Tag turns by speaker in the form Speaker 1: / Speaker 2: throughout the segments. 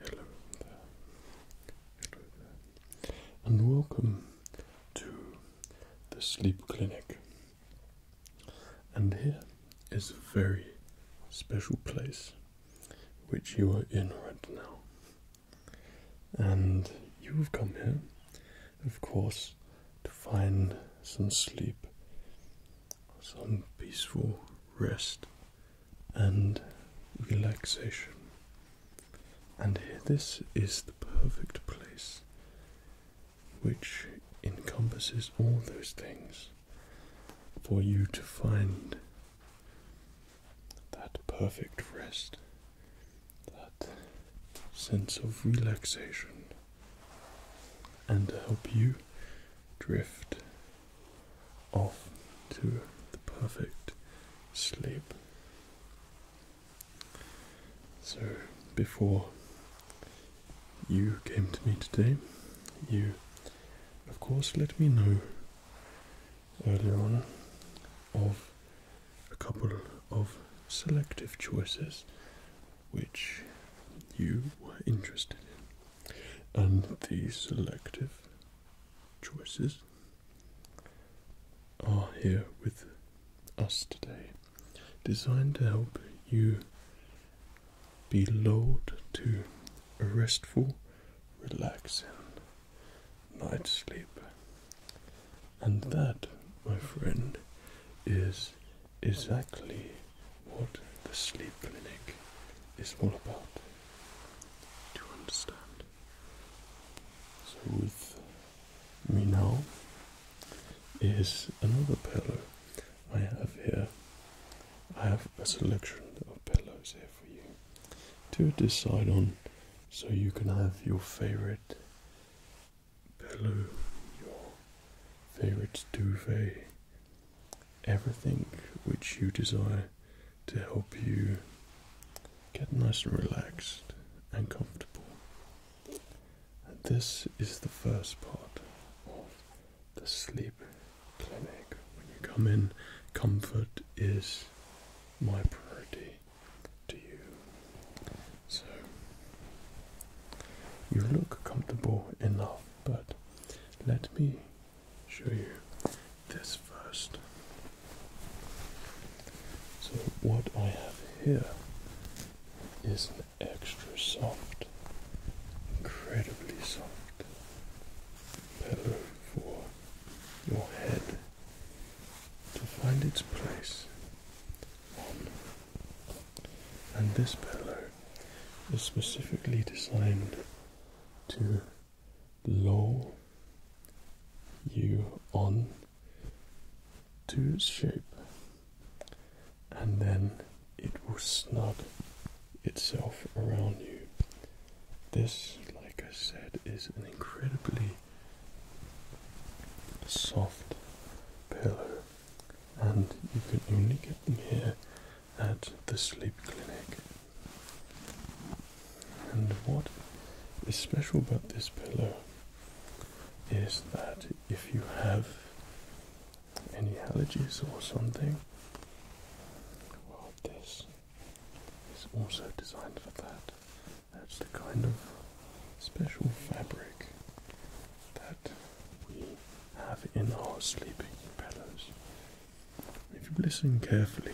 Speaker 1: Hello there. And welcome to the sleep clinic. And here is a very special place which you are in right now. And you've come here, of course, to find some sleep, some peaceful rest and relaxation. And this is the perfect place which encompasses all those things for you to find that perfect rest, that sense of relaxation, and help you drift off to the perfect sleep. So, before you came to me today, you, of course, let me know earlier on of a couple of selective choices which you were interested in, and these selective choices are here with us today, designed to help you be lulled to a restful relaxing night sleep. And that, my friend, is exactly what the sleep clinic is all about. Do you understand? So, with me now is another pillow I have here. I have a selection of pillows here for you to decide on so you can have your favorite pillow, your favorite duvet, everything which you desire to help you get nice and relaxed and comfortable. this is the first part of the sleep clinic. When you come in, comfort is my priority to you. So you look comfortable enough, but let me show you this first. So, what I have here is an extra soft, incredibly soft pillow for your head to find its place on. And this pillow is specifically designed to lull you on to its shape, and then it will snug itself around you. This, like I said, is an incredibly soft pillow, and you can only get them here at the sleep clinic. And what is special about this pillow is that if you have any allergies or something, well, this is also designed for that. That's the kind of special fabric that we have in our sleeping pillows. If you listen carefully,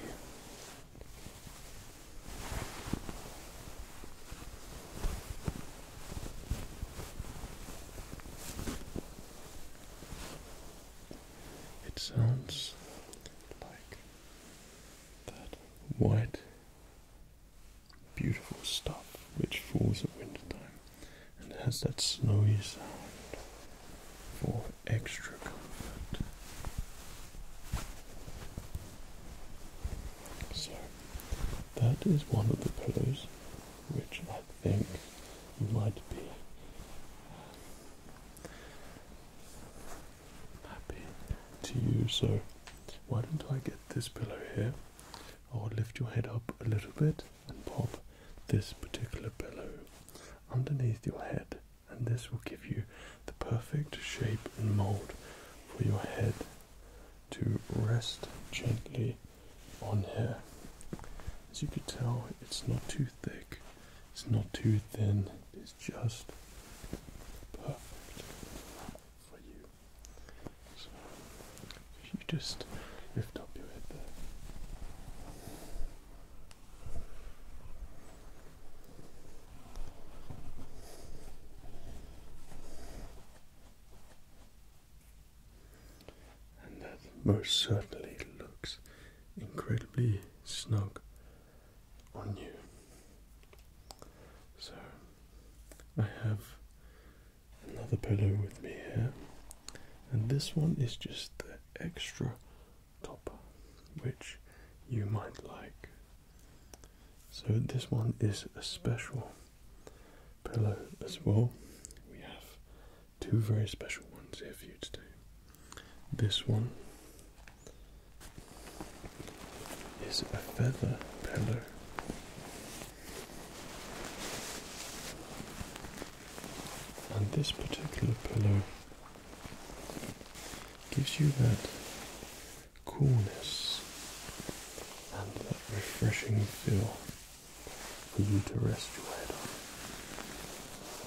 Speaker 1: it sounds like that white, beautiful stuff which falls at winter time and has that snowy sound for extra comfort. So, that is one of the pillows which I think might be happy to you. So, why don't I get this pillow here? i lift your head up a little bit and pop this particular pillow underneath your head, and this will give you the perfect shape and mold for your head to rest gently on here. As you can tell, it's not too thick it's not too thin. It's just perfect for you. So you just lift up your head there. And that most certainly looks incredibly snug on you. So I have another pillow with me here, and this one is just the extra top, which you might like. So this one is a special pillow as well. We have two very special ones here for you today. This one is a feather pillow. And this particular pillow gives you that coolness and that refreshing feel for you to rest your head on.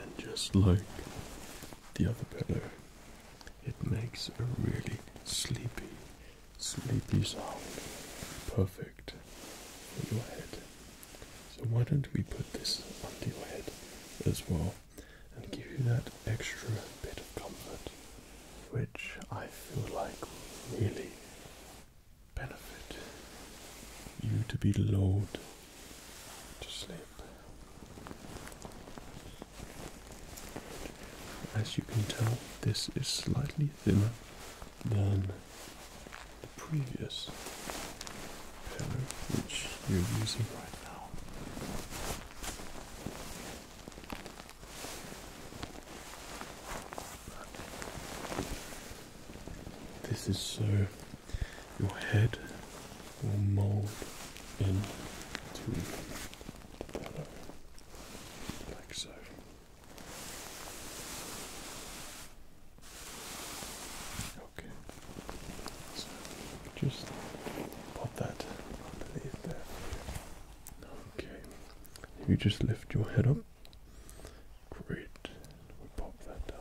Speaker 1: And just like the other pillow, it makes a really sleepy, sleepy sound. Perfect for your head. So, why don't we put this under your head as well and give you that extra bit of comfort, which I feel like really benefit you to be lulled to sleep. As you can tell, this is slightly thinner than the previous pillow which you're using right now. This is so your head will mold into the pillow, like so. Okay, just pop that, I believe, Okay, you just lift your head up. Great. We pop that down.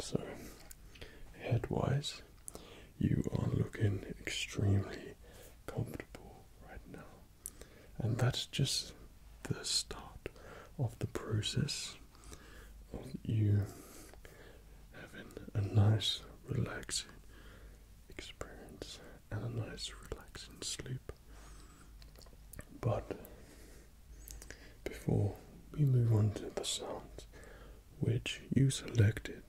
Speaker 1: So, headwise, you are looking extremely comfortable right now, and that's just the start of the process you having a nice, relaxing experience and a nice, relaxing sleep. But before we move on to the sounds which you selected,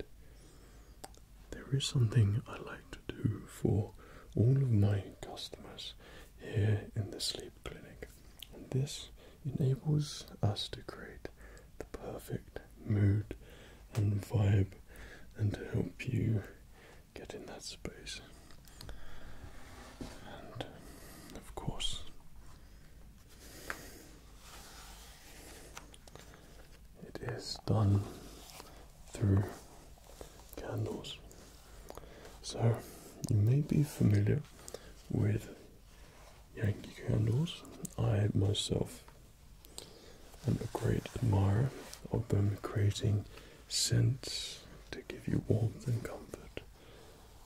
Speaker 1: there is something I like to do for all of my customers here in the sleep clinic, and this enables us to create the perfect mood and vibe and to help you get in that space. And of course, it is done through candles. So, you may be familiar with Yankee candles. I myself I'm a great admirer of them creating scents to give you warmth and comfort.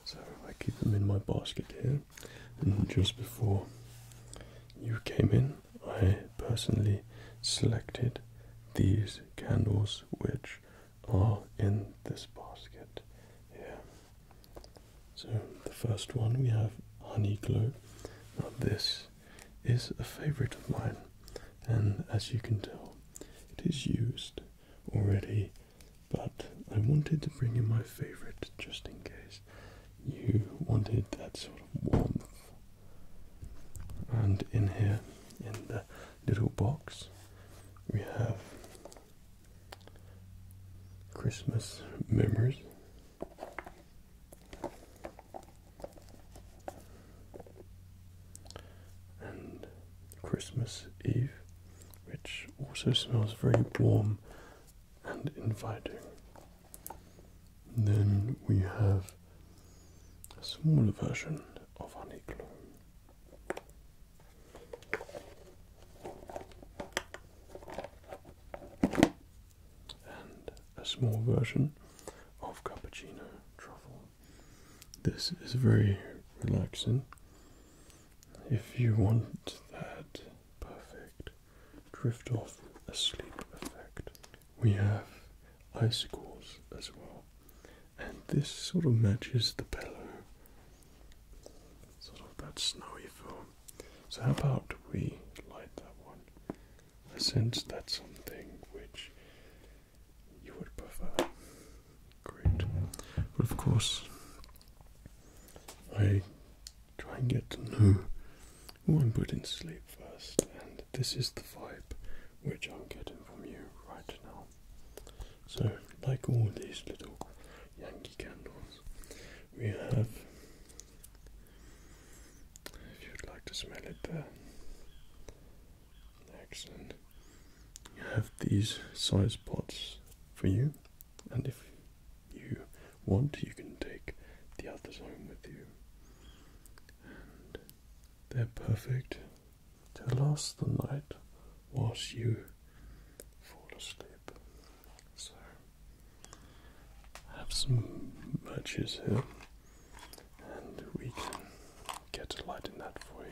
Speaker 1: So I keep them in my basket here. And just before you came in, I personally selected these candles which are in this basket here. So the first one we have Honey Glow. Now this is a favourite of mine and as you can tell it is used already but I wanted to bring in my favourite just in case you wanted that sort of warmth. And in here, in the little box, we have Christmas memories. And Christmas Eve, which also smells very warm and inviting. then we have a smaller version of Honeycomb and a small version of cappuccino truffle. This is very relaxing. If you want that perfect drift off asleep effect, we have icicles as well, and this sort of matches the pillow, sort of that snowy feel. So how about we light that one? since that's something which you would prefer. Great. But of course, I try and get to know who I'm putting sleep first, and this is the vibe which I'm getting from you right now. So, like all these little Yankee candles, we have if you'd like to smell it there. Uh, excellent. You have these size pots for you, and if you want, you can take the others home with you. And they're perfect to last the night whilst you fall asleep. So I have some matches here and we can get a light in that for you.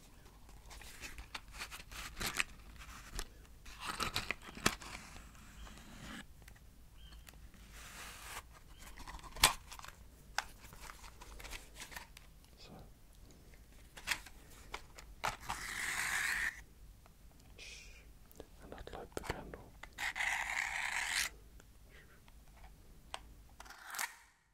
Speaker 1: So and I'd light the candle.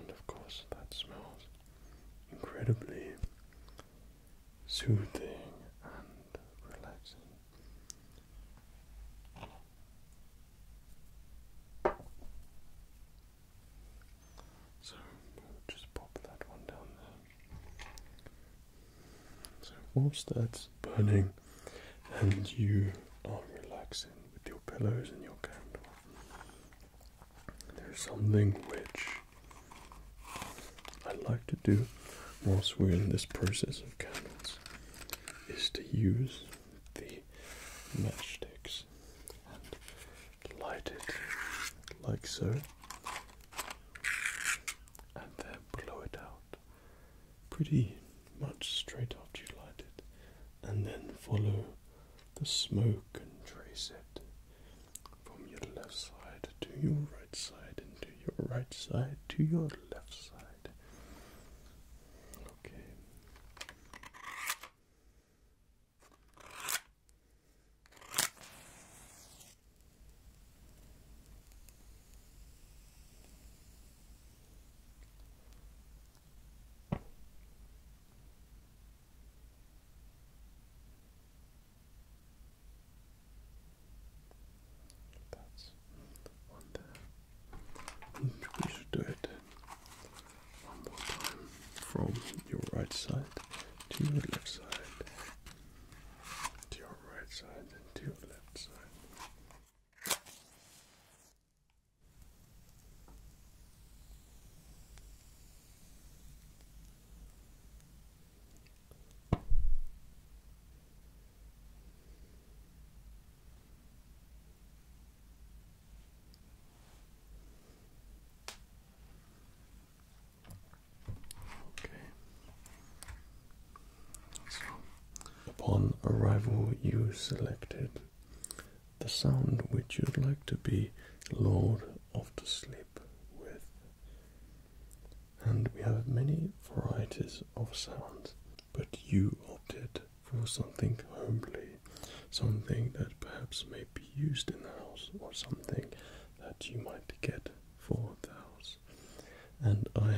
Speaker 1: and of course that smells incredibly soothing and relaxing. So we'll just pop that one down there. So whilst that's burning and you are relaxing with your pillows and your candle, there's something which I would like to do whilst we're in this process of candles is to use the matchsticks and light it like so and then blow it out pretty much straight after you light it and then follow the smoke and trace it from your left side to your right side and to your right side to your left side. Okay we should do it one more time from your right side to your left side to your right side and to your left side. Okay. So upon arrival you selected the sound which you'd like to be lord off to sleep with. And we have many varieties of sounds, but you opted for something homely, something that perhaps may be used in the house, or something that you might get for the house. And I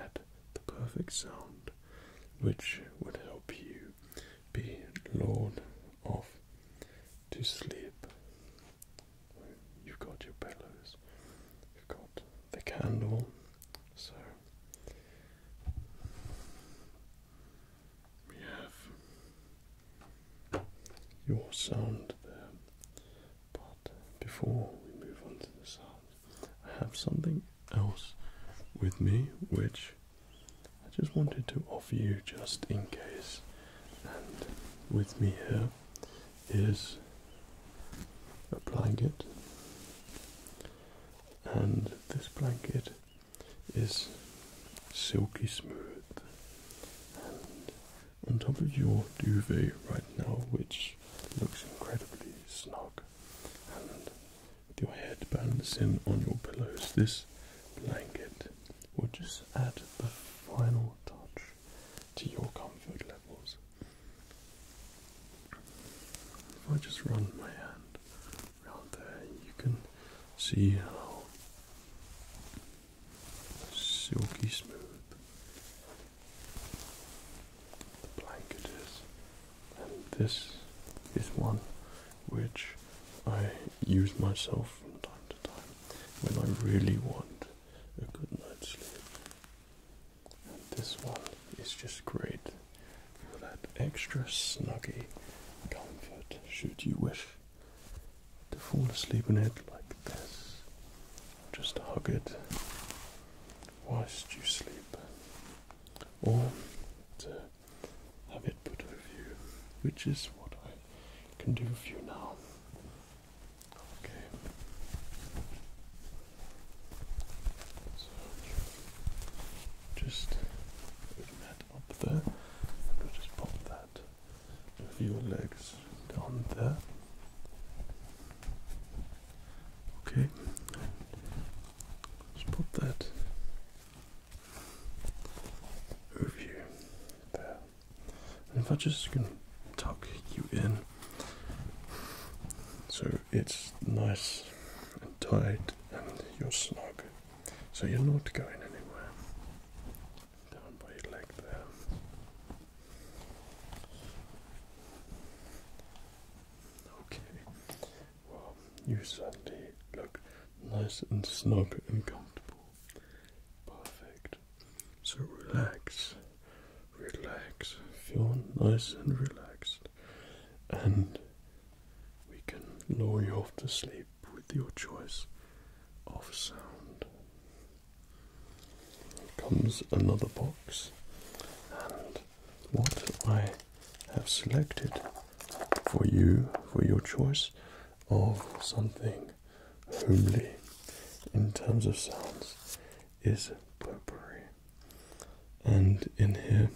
Speaker 1: had the perfect sound which would help you be lord of to sleep. You've got your pillows, you've got the candle, so we have your sound there. But before we move on to the sound, I have something else with me, which I just wanted to offer you just in case. And with me here is a blanket, and this blanket is silky smooth. And on top of your duvet right now, which looks incredibly snug and with your head balancing on your pillows, this blanket will just add the final touch to your comfort levels. If I just run my hand around there, you can see how silky smooth the blanket is and this is one which I use myself from time to time when I really want a good night's sleep. And this one is just great for that extra snuggie comfort, should you wish to fall asleep in it like this. Just hug it whilst you sleep. Or to have it put over you, which is what I can do for you now. Okay. So just open that up there, just pop that over legs down there. Okay. Just put that overview there. if I just can tuck you in, so it's nice and tight and you're snug, so you're not going anywhere. Down by your leg there. Okay, well, you certainly look nice and snug and comfortable. Perfect. So relax, relax, feel nice and relaxed, and we can lower you off to sleep with your choice of sound. comes another box, and what I have selected for you, for your choice of something homely in terms of sounds is potpourri. And in here,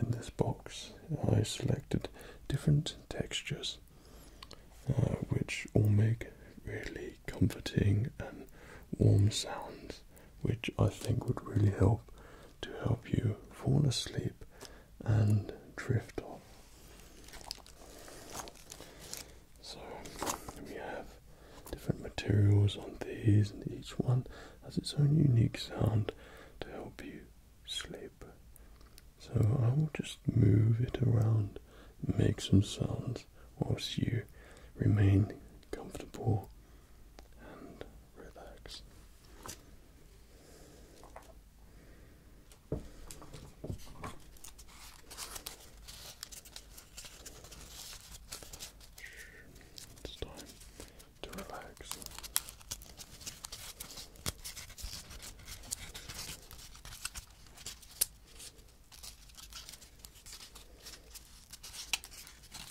Speaker 1: in this box, I selected different textures uh, which all make really comforting and warm sounds which I think would really help to help you fall asleep and drift off. So we have different materials on these, and each one has its own unique sound to help you sleep. So I will just move it around, make some sounds whilst you remain comfortable and relax. It's time to relax.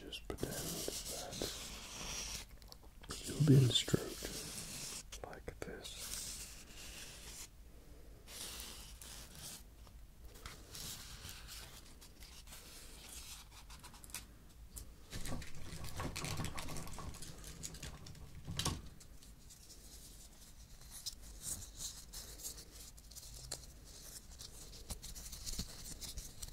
Speaker 1: Just pretend that you'll be stroked like this.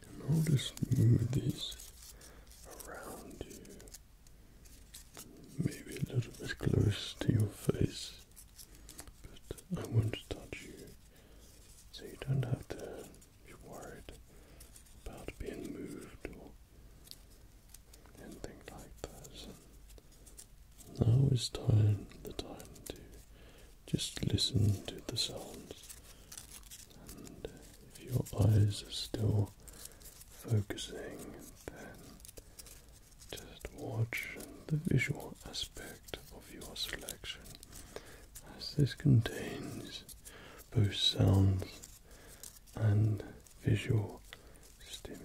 Speaker 1: And I'll just move these around you, maybe a little bit close to your face but I won't touch you, so you don't have to be worried about being moved or anything like that. Now is time the time to just listen to the sounds, and if your eyes are still focusing, then just watch the visual aspect of your selection as this contains both sounds and visual stimuli.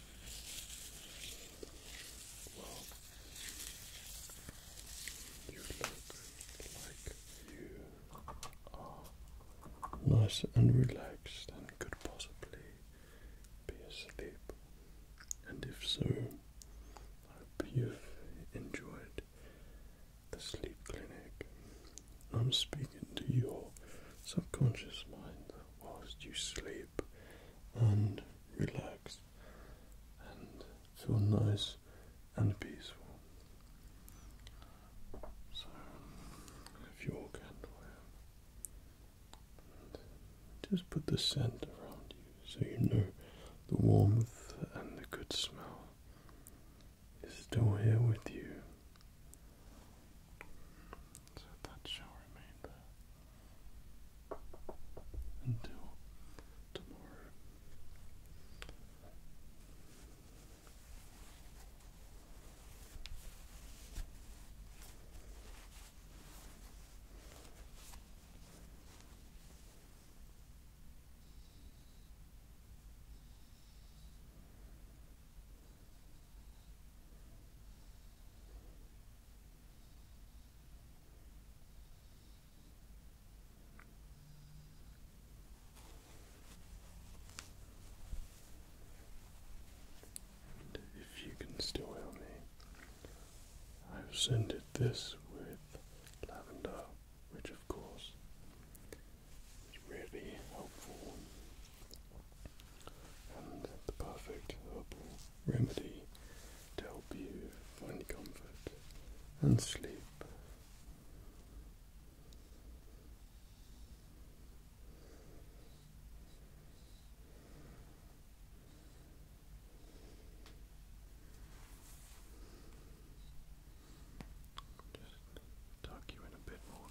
Speaker 1: Well, you look like you are nice and relaxed and could possibly be asleep. And if so, I hope you've enjoyed the sleep clinic. I'm speaking to your subconscious mind whilst you sleep and relax and feel nice and peaceful. So, if your candle out, just put the scent around you so you know the warmth and the good smell is still here with you so that shall remain there until tomorrow if you can still hear me, I've scented this with lavender, which of course is really helpful and the perfect herbal remedy to help you find comfort and sleep. Just tuck you in a bit more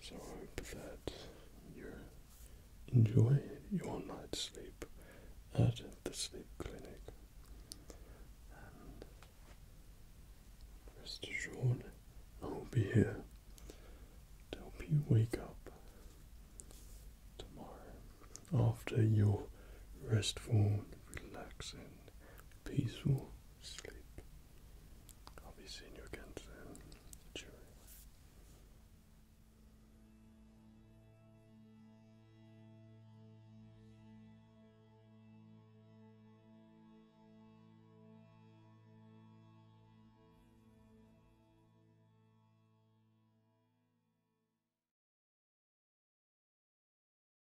Speaker 1: So I hope that you enjoy your night's sleep at the sleep clinic and rest assured I'll be here to help you wake up tomorrow after your restful, relaxing, peaceful sleep. I'll be seeing you again soon. Cheerio.